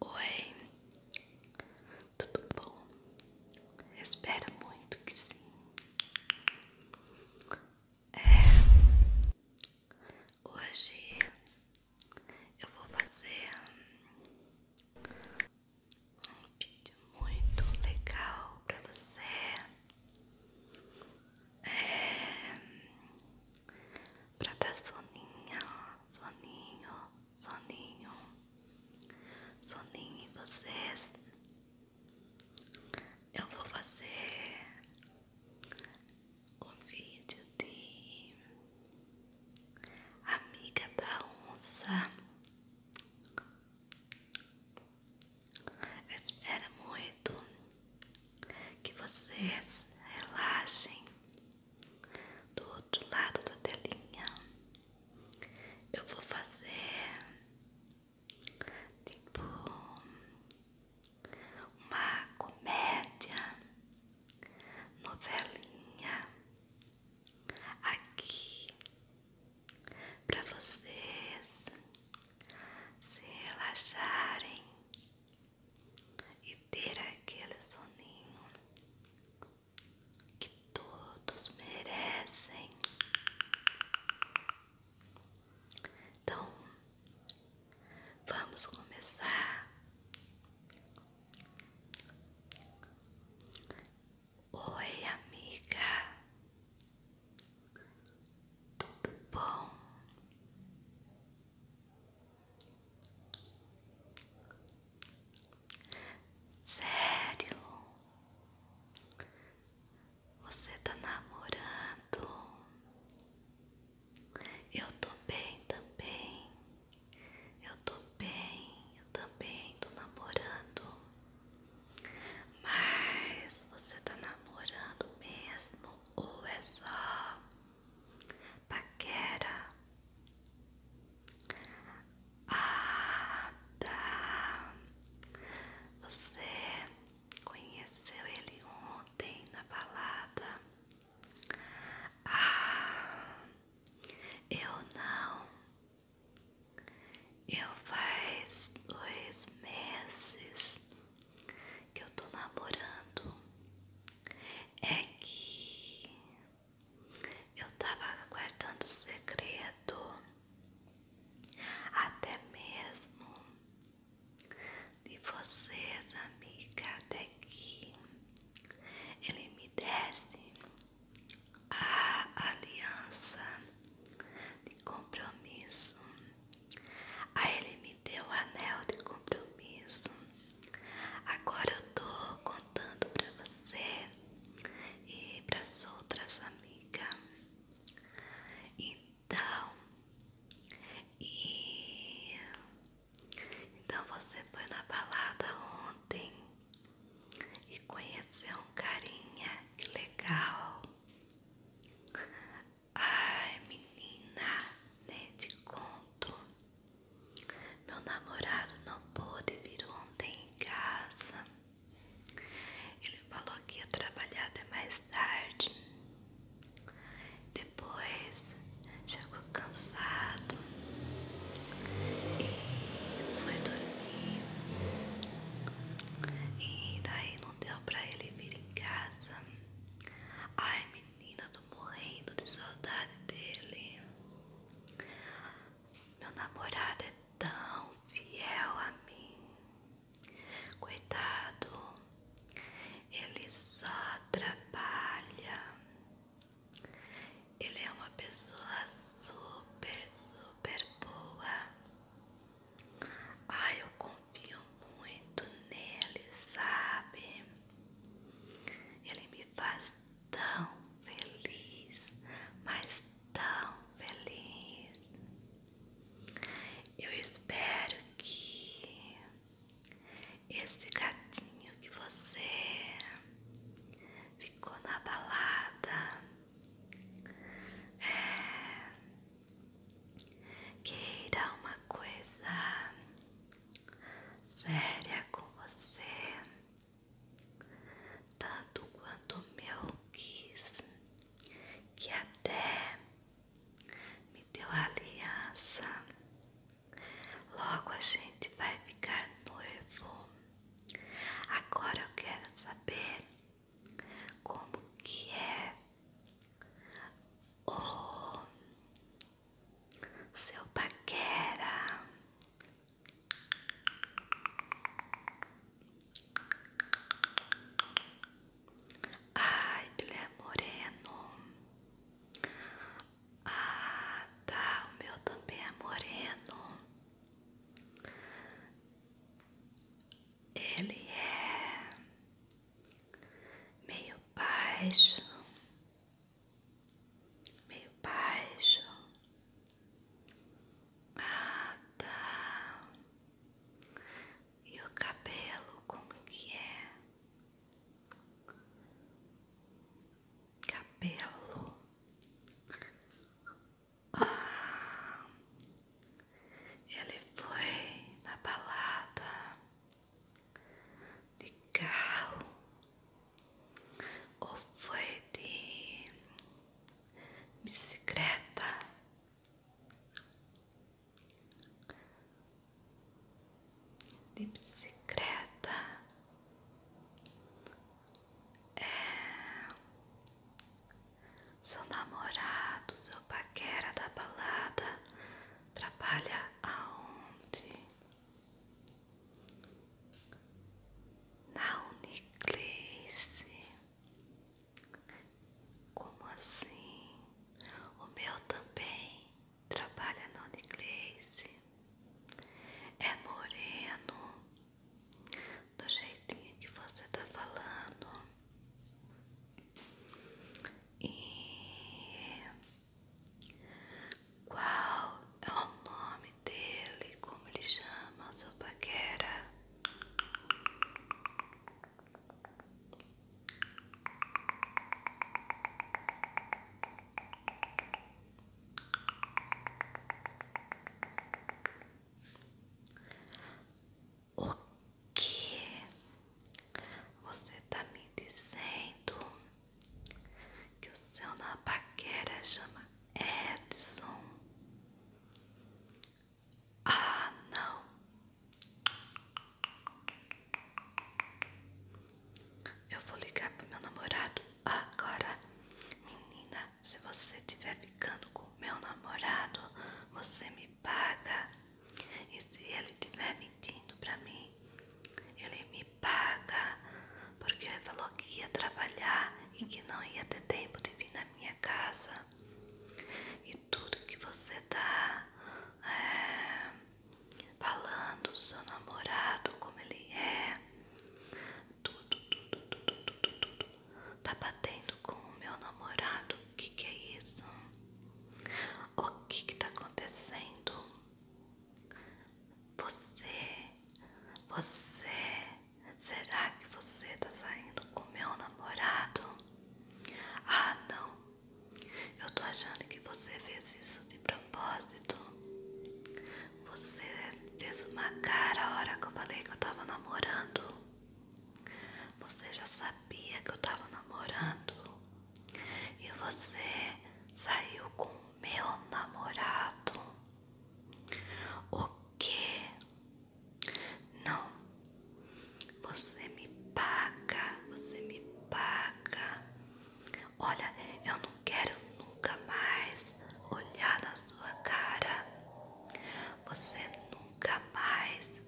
Oi, tudo bom? Espero muito que sim. É, hoje eu vou fazer um vídeo muito legal pra você. É, pra dar soninho, soninho, soninho, soninho em vocês. Eu vou fazer o vídeo de Amiga da Onça. Eu espero muito que vocês relaxem do outro lado da telinha. Eu vou fazer tipo uma comédia, novelinha aqui para vocês se relaxarem e ter aquele soninho que todos merecem. Então, vamos começar Oi, amiga. Tudo bom? Sério? Você tá namorando? Eu tô bem também. Eu tô bem, eu também tô namorando. Mas você tá namorando mesmo ou é só paquera, ah, tá. Você conheceu ele ontem na balada? Ah, eu não. Eu faz dois meses que eu tô namorando é que eu tava guardando segredo até mesmo de vocês, amiga, até que ele me desse a aliança de compromisso. Aí ele me deu o anel de compromisso. Agora eu tô contando pra você e pras outras amigas. Então, e então você foi na balada ontem e conheceu um carinha, legal. Ai, menina, nem te conto. Meu namorado não pôde vir ontem em casa. Ele falou que ia trabalhar até mais tarde. Depois chegou cansado e foi dormir. E daí não deu pra ele vir em casa. Ai, menina menina, tô morrendo de saudade dele. Meu namorado é tão fiel a mim. Cuidado, ele só trabalha. Ele é uma pessoa super, super boa. Ai, eu confio muito nele, sabe? Ele me faz tão feliz, mas tão feliz. Eu espero que esse gatinho que você ficou na balada é, queira uma coisa séria com você, tanto quanto meu quis, que até me deu aliança. Logo a gente vai ficar noivo. Agora eu quero saber como que é o seu paquera ai ele é moreno ah tá o meu também é moreno ele é meio baixo, meio baixo. Ah, tá. E o cabelo, como que é? Cabelo. Ah, ele foi na balada de carro ou foi de bicicleta? De bicicleta é seu namorado, seu paquera da balada Trabalha aonde? Na Uniclasse. Como assim? O meu também trabalha na Uniclasse. É moreno. Do jeitinho que você tá falando. E qual é o nome dele? Como ele chama? Sua paquera? O que você está me dizendo? Que o seu na paquera chama Edson. Ah, não. Eu vou ligar pro meu namorado agora. Menina, se você estiver ficando com meu namorado, você me me paga. E se ele tiver mentindo para mim, ele me paga, porque ele falou que ia trabalhar e que não ia ter tempo de vir na minha casa. E tudo que você tá é, falando do seu namorado, como ele é, tudo, tudo, tudo, tudo, tudo, tá batendo com o meu namorado. O que, é isso? O que está acontecendo? Você, você, será que você está saindo com meu namorado? Ah, não. Eu estou achando que você fez isso de propósito. Você fez uma cara a hora que eu falei que eu estava namorando. Você já sabia que eu tava namorando e você saiu com o meu namorado. O que? Não. Você me paga, você me paga. Olha, eu não quero nunca mais olhar na sua cara. Você nunca mais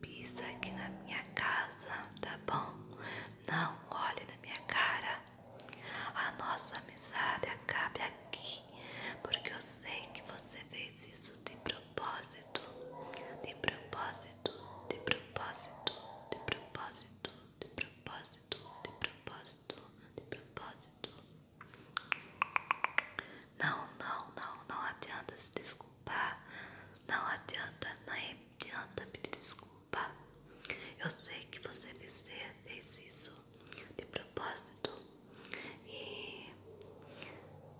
pisa aqui na minha casa, tá bom? Não olhe na minha cara. A nossa amizade acabe aqui, porque eu sei que você fez isso de propósito, de propósito, de propósito, de propósito, de propósito, de propósito, de propósito. Não, não, não, não adianta se desculpar. Não adianta, não adianta pedir desculpa. Eu sei que você fez isso de propósito. E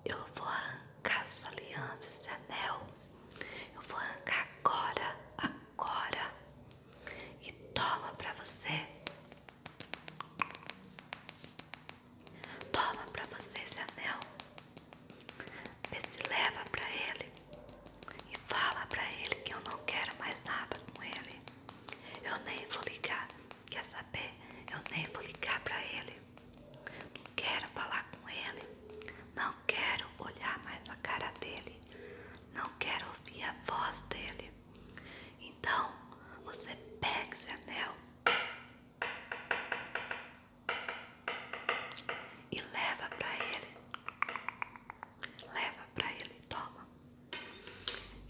eu vou arrancar essa aliança, esse anel. Eu vou arrancar agora, agora. E toma pra você. Toma pra você esse anel. Vê se leva pra ele e fala pra ele que eu não quero mais nada com ele. Eu nem vou ligar. Quer saber? Eu nem vou ligar pra ele. Não quero falar com ele. Não quero olhar mais a cara dele. Não quero ouvir a voz dele. Então, você pega esse anel e leva para ele. Leva para ele, toma.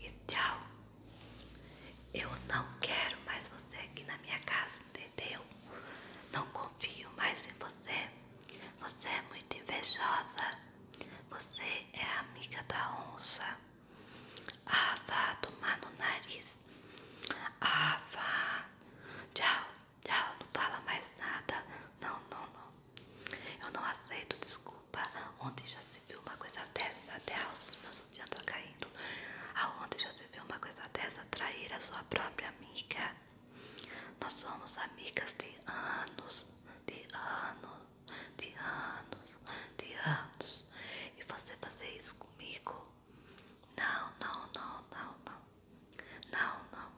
E tchau. Eu não quero mais você aqui na minha casa, entendeu? Não confio mais em você. Você é muito invejosa. Você é amiga da onça. Ah, vá tomar no nariz. Ah, vá. Tchau, tchau. Não fala mais nada. Não, não, não. Eu não aceito desculpa. Onde já se viu uma coisa dessa. Até a alça do meu sutiã tá caindo. Aonde ah, já se viu uma coisa dessa? Trair a sua própria amiga. Nós somos amigas de anos, de anos, de anos, de anos. E você fazer isso comigo? Não, não, não, não, não. Não, não.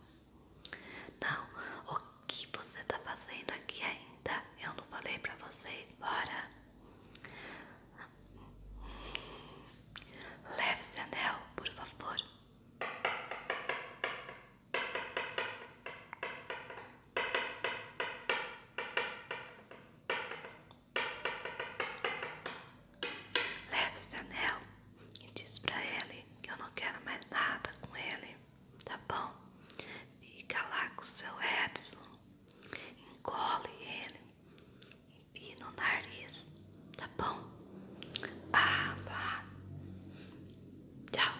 Não. O que você está fazendo aqui ainda? Eu não falei para você ir Leve esse anel, por favor. Leve esse anel e diz pra ele que eu não quero mais nada com ele, tá bom? Fica lá com o seu Edson, engole ele, empina o nariz, tá bom? Ah, vá. Tchau.